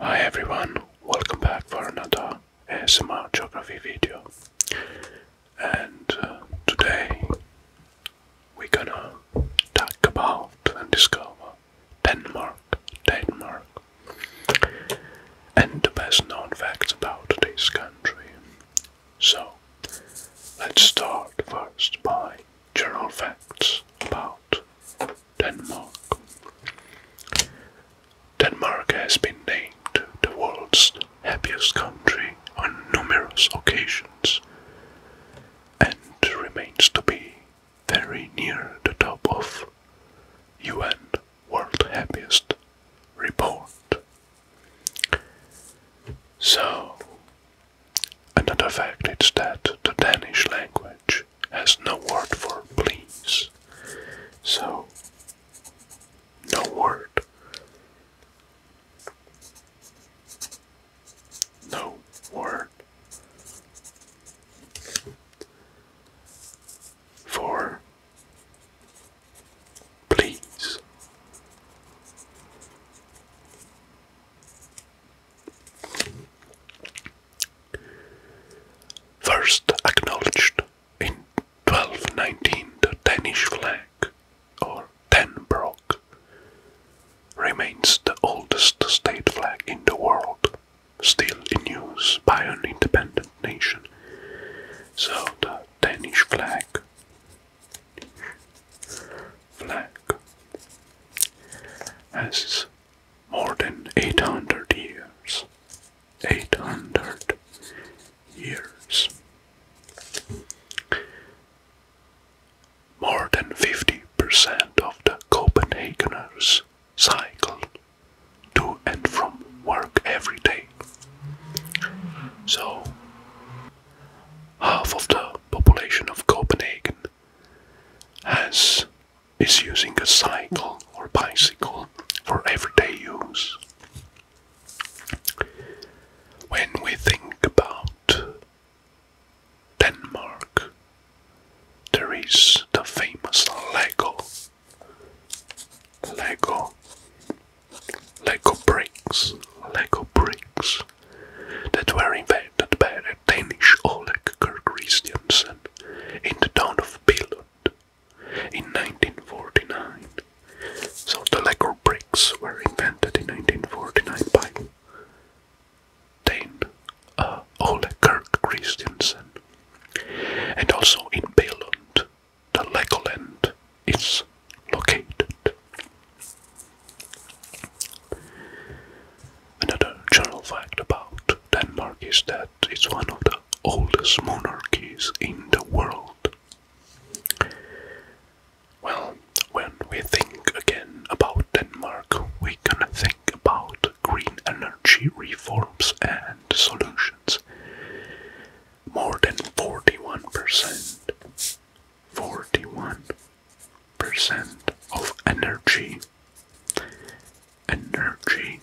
Hi everyone, welcome back for another ASMR geography video. And uh, today we're gonna talk about and discover Denmark, Denmark, and the best known facts about this country. So, let's start first by general facts about Denmark. Denmark has been named the world's happiest country on numerous occasions and remains to be very near the top of UN World Happiest report. So, another fact is that the Danish language has no word for please. So, no word. No word. For Please. First acknowledged in 1219, the Danish flag, or Danbrock, remains the oldest state flag in the world, still in use by an independent nation. So the Danish flag flag has more than 800 years. 800 years. More than 50% of the Copenhageners cycle to and from work every day. So, half of the population of Copenhagen has is using a cycle or bicycle for everyday use. When we think about Denmark, there is the famous Lego Lego, Lego bricks, Lego bricks that were invented by Danish Oleg Kirk Christiansen in the town of Billund in 1949. So the Lego bricks were invented in 1949 by Dane uh, Oleg Kirk Christiansen. And also in Billund, the Legoland is located. Another general fact about Denmark is that it's one of the oldest monarchies in the world. Well, when we think again about Denmark, we can think about green energy reforms and solutions more than 41%. 41% of energy. Energy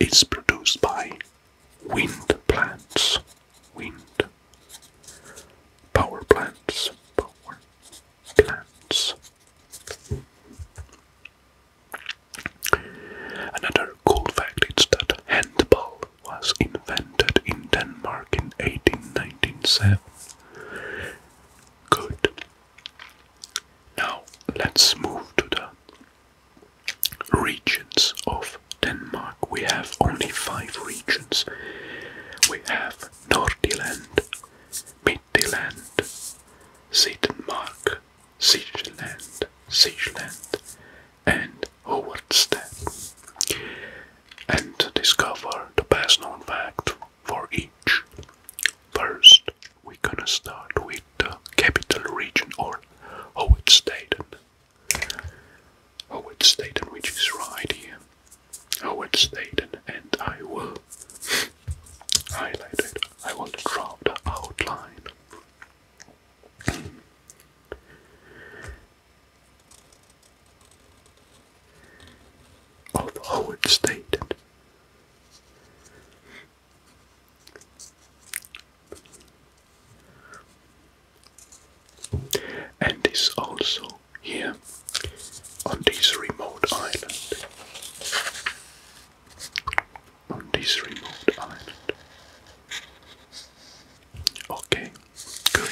is produced by wind plants. Wind. Power plants. Power plants. Another cool fact is that handball was invented in Denmark in 1897. Good. Now let's move to the regions of Denmark. We have only five regions. We have Nordiland, Midtjylland, Sittenmark, Sigeland, Sigeland, and Howard Step, and discover the best known fact for each. First, going gonna start with the capital region or Howard Staten. Howard Staten, is right here. Howard Staten, and I will highlight it. I will draw the outline Although Howard State, and is also here on this remote island on this remote island. Okay, good.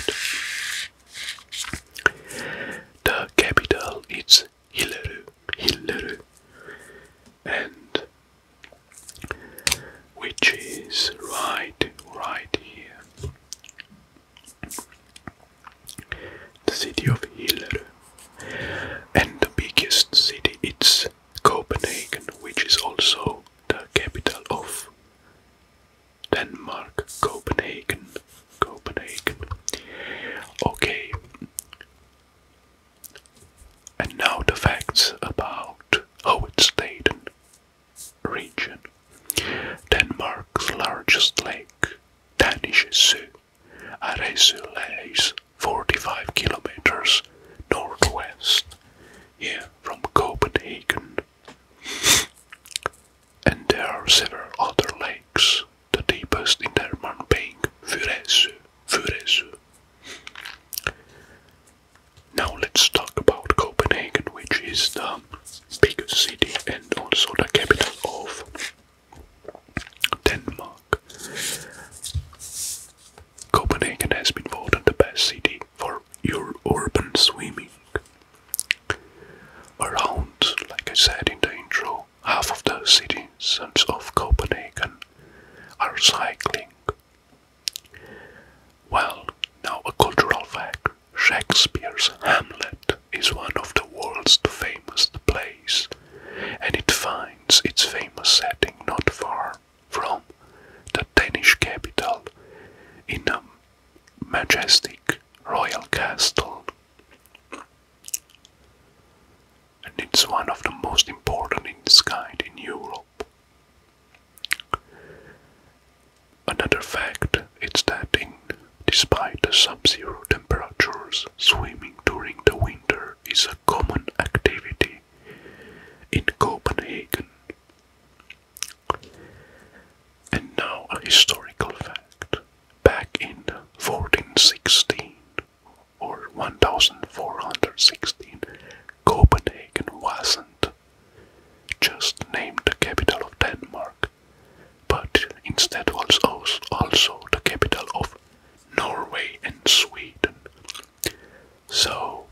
The capital is Hileru, Hileru, and which is right, right here. The city of Hileru, and the biggest city is Copenhagen, which is also the capital of Denmark, Copenhagen. Copenhagen. Okay. And now the facts about Hovedstaden region. Denmark's largest lake, Danische Zee, Aresø lies 45 kilometers northwest here from Copenhagen. And there are several other lakes, the deepest in Denmark being Furesu. Furesu. Now let's talk about Copenhagen, which is the biggest city and also the capital of Denmark. Copenhagen has been voted the best city for your urban swimming. Around, like I said in the intro, half of the citizens of Copenhagen are cycling. Well, now a cultural fact Shakespeare's Hamlet is one of the world's famous plays, and it finds its famous setting not far from the Danish capital in a majestic royal castle. And it's one of the most important in its kind in Europe. Another fact is that, in, despite the sub zero temperatures, swimming during the winter is common activity in Copenhagen. And now a historical fact. Back in 1416 or 1416, Copenhagen wasn't just named the capital of Denmark, but instead was also the capital of Norway and Sweden. So,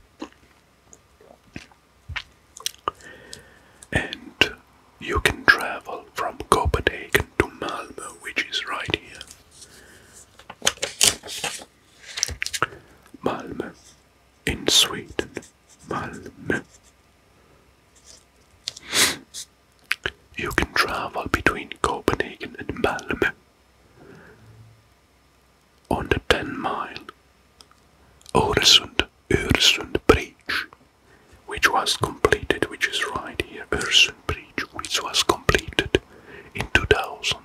and you can travel from Copenhagen to Malmo, which is right here. Malmo in Sweden. Malmo. You can travel between Copenhagen and Malmo on the 10 mile Öresund, Öresund Bridge, which was completed, which is right here, Öresund Bridge, which was completed in 2000.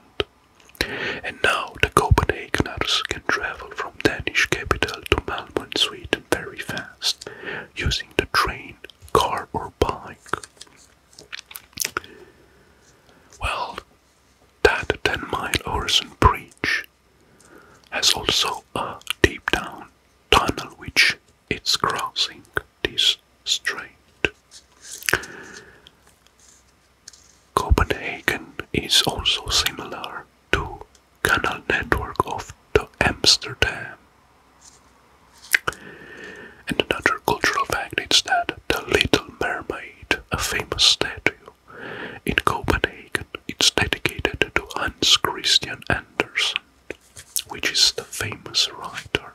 And now the Copenhageners can travel from Danish capital to Malmo Sweden very fast using the train, car or bike. Well, that Ten Mile Orison Bridge has also a deep down tunnel which is crossing this strait. Copenhagen is also similar to canal network of the Amsterdam. And another cultural fact is that the Little Mermaid a famous statue. In Copenhagen, it's dedicated to Hans Christian Andersen, which is the famous writer,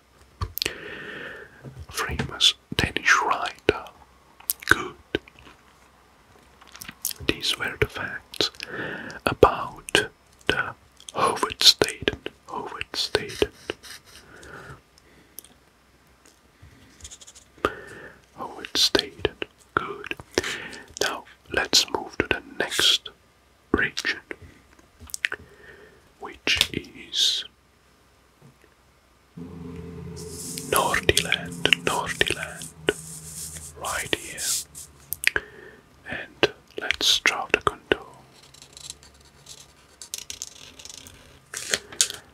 famous Danish writer. Good. These were the facts about the Hovedstaden. Hovedstaden. Oh, it stayed Good. Now let's move to the next region, which is Nordiland, Nordiland, right here. And let's draw the contour.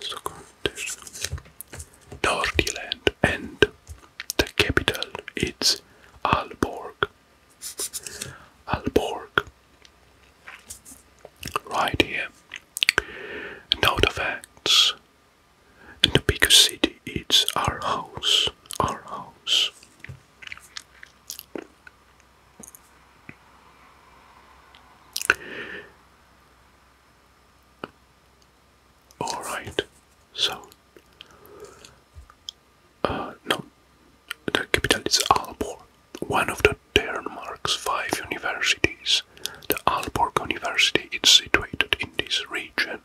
So contest and the capital is Aalborg. Aalborg. Right here. Now the facts. And the biggest city is our house. Our house. All right. So, uh, no, the capital is Aalborg, one of the Denmark's five universities. The Alborg University is situated in this region.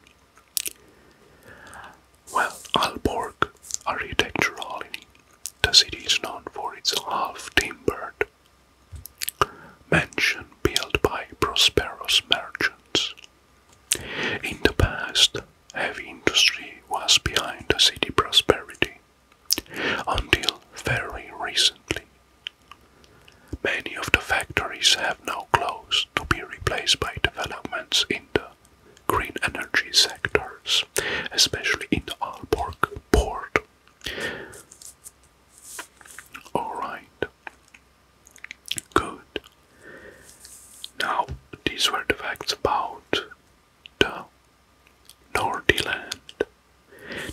Well, Aalborg, architecturally, the city is known for its half-timbered mansion built by prosperous merchants. In the past, heavy industry was behind the city prosperity, until very recently. Many of the factories have now closed to be replaced by developments in the green energy sectors, especially in the Aalborg port. Alright. Good. Now, these were the facts about the Nordy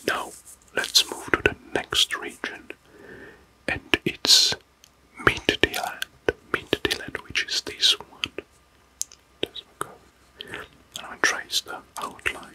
Now, let's move to the next region, and it's Middeland. Middeland, which is this one. There's And I trace the outline.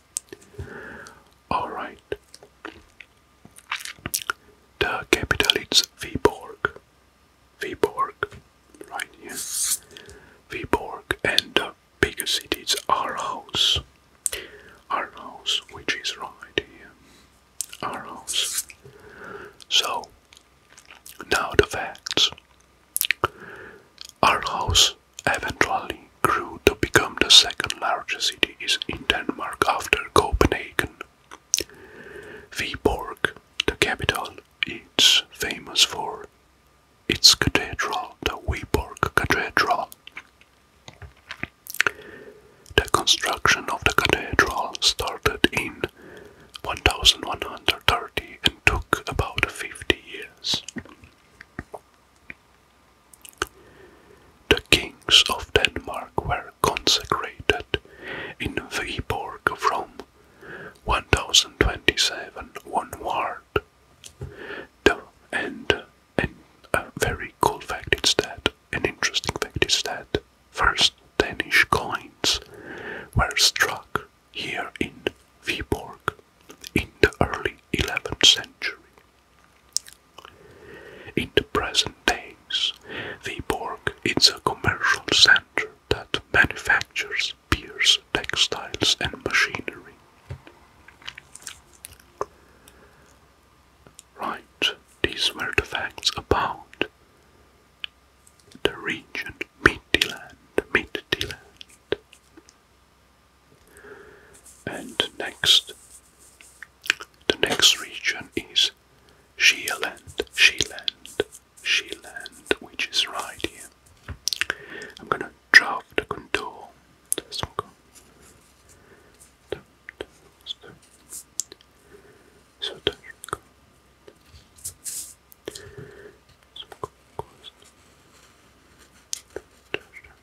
Alright. The capital is Viborg. Viborg, right here. Viborg and the biggest city is Aarhus. Aarhus, which is right here. Aarhus. So, now the facts. Aarhus eventually grew to become the second largest city in Denmark after Copenhagen. Viborg, the capital, is famous for its cathedral, the Viborg Cathedral. The construction of the cathedral started in 1130 and took about 50 years. The kings of Denmark were consecrated in Viborg of Rome, 1027 onward. The, and, and a very cool fact is that, an interesting fact is that, first Danish coins were struck here in Viborg in the early 11th century. In the present days, Viborg is a commercial center that manufactures beers, textiles, and machinery. Right, these were about the region Midland, Midland. And next, the next region is Shieland, Shealand, Shealand, which is right here. I'm gonna draw the contour. So go.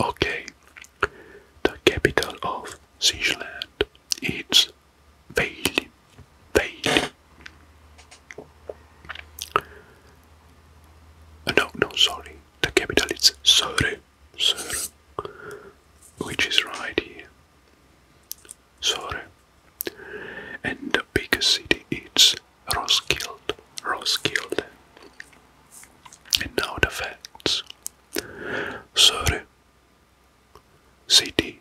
Okay, the capital of Switzerland It's Weilling. Weilling. No, no, sorry. The capital is Söre, Söre, which is right here. Söre. And the biggest city is Roskilde, Roskilde. And now the facts. Surrey, city,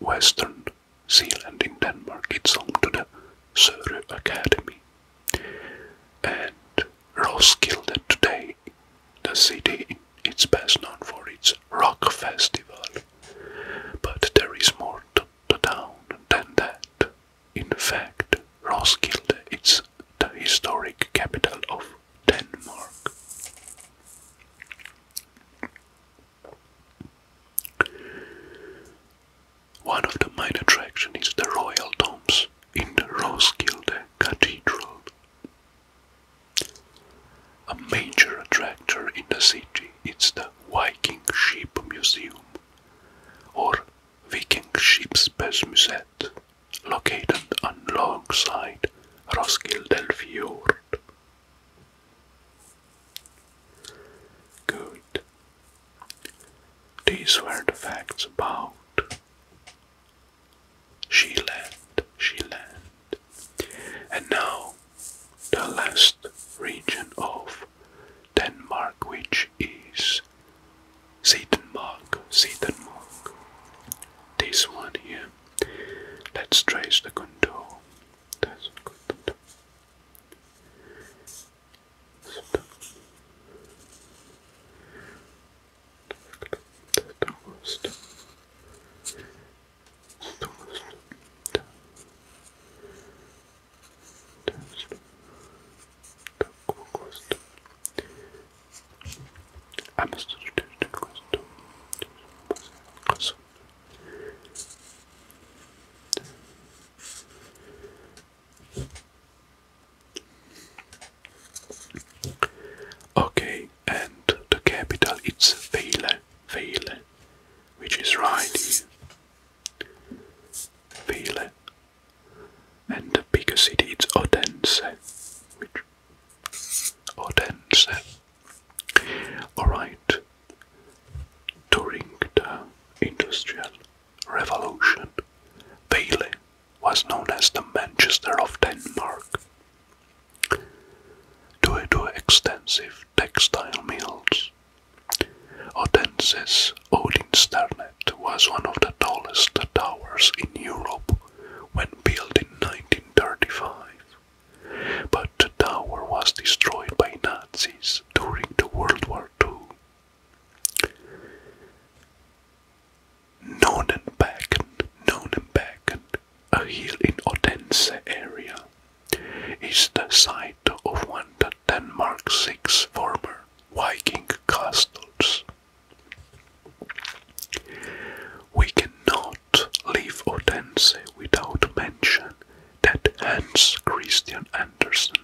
western Zealand in Denmark, it's home to the Surrey Academy. And Roskilde today, the city, is best known for its rock festival. But there is more to the town than that. In fact, Roskilde is the historic capital of Denmark. One of the main attractions is the royal tombs in the Roskilde Cathedral. A major attraction in the city is the Viking Ship Museum or Viking Ships Museum hamlet located alongside Roskilde Fjord. Good. These were the facts about Sheeland, Sheeland. And now the last region of Denmark which is Satan Mark. Satan Mark. This one here. Let's trace the contour. That's a contour. Stop. Okay, and the capital it's Vele, Vele, which is right Vele, and the bigger city is Odense. Which Odense. Alright. During the Industrial Revolution, Vejle was known as the Manchester of Denmark. Due to extensive textile mills, Odense's Odin's Odinsternet was one of the tallest towers in Europe when built in 1935, but the tower was destroyed by Nazis during the World War II. Nonenbergen, Nonenbergen, a hill in Odense area, is the site of one Denmark's six former Viking castles. We cannot leave Odense without mention that Hans Christian Andersen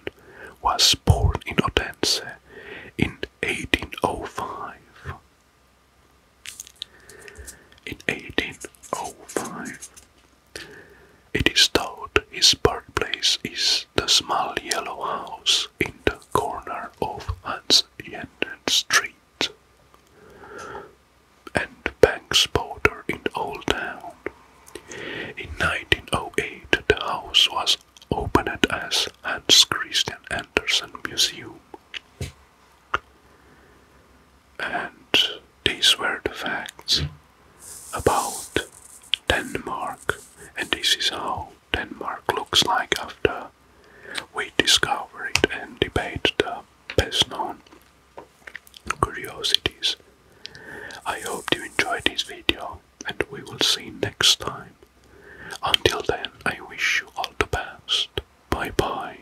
was born in Odense in 1805. In 1805, it is thought his birthplace is the small yellow house in the corner of Hans Jensen Street and Banks border in Old Town. In 1908, the house was opened as Hans Christian Andersen Museum. And these were the facts about Denmark, and this is how Denmark looks like after we discover it and debate the best known curiosities. I hope you enjoyed this video and we will see next time. Until then, I wish you all the best. Bye bye.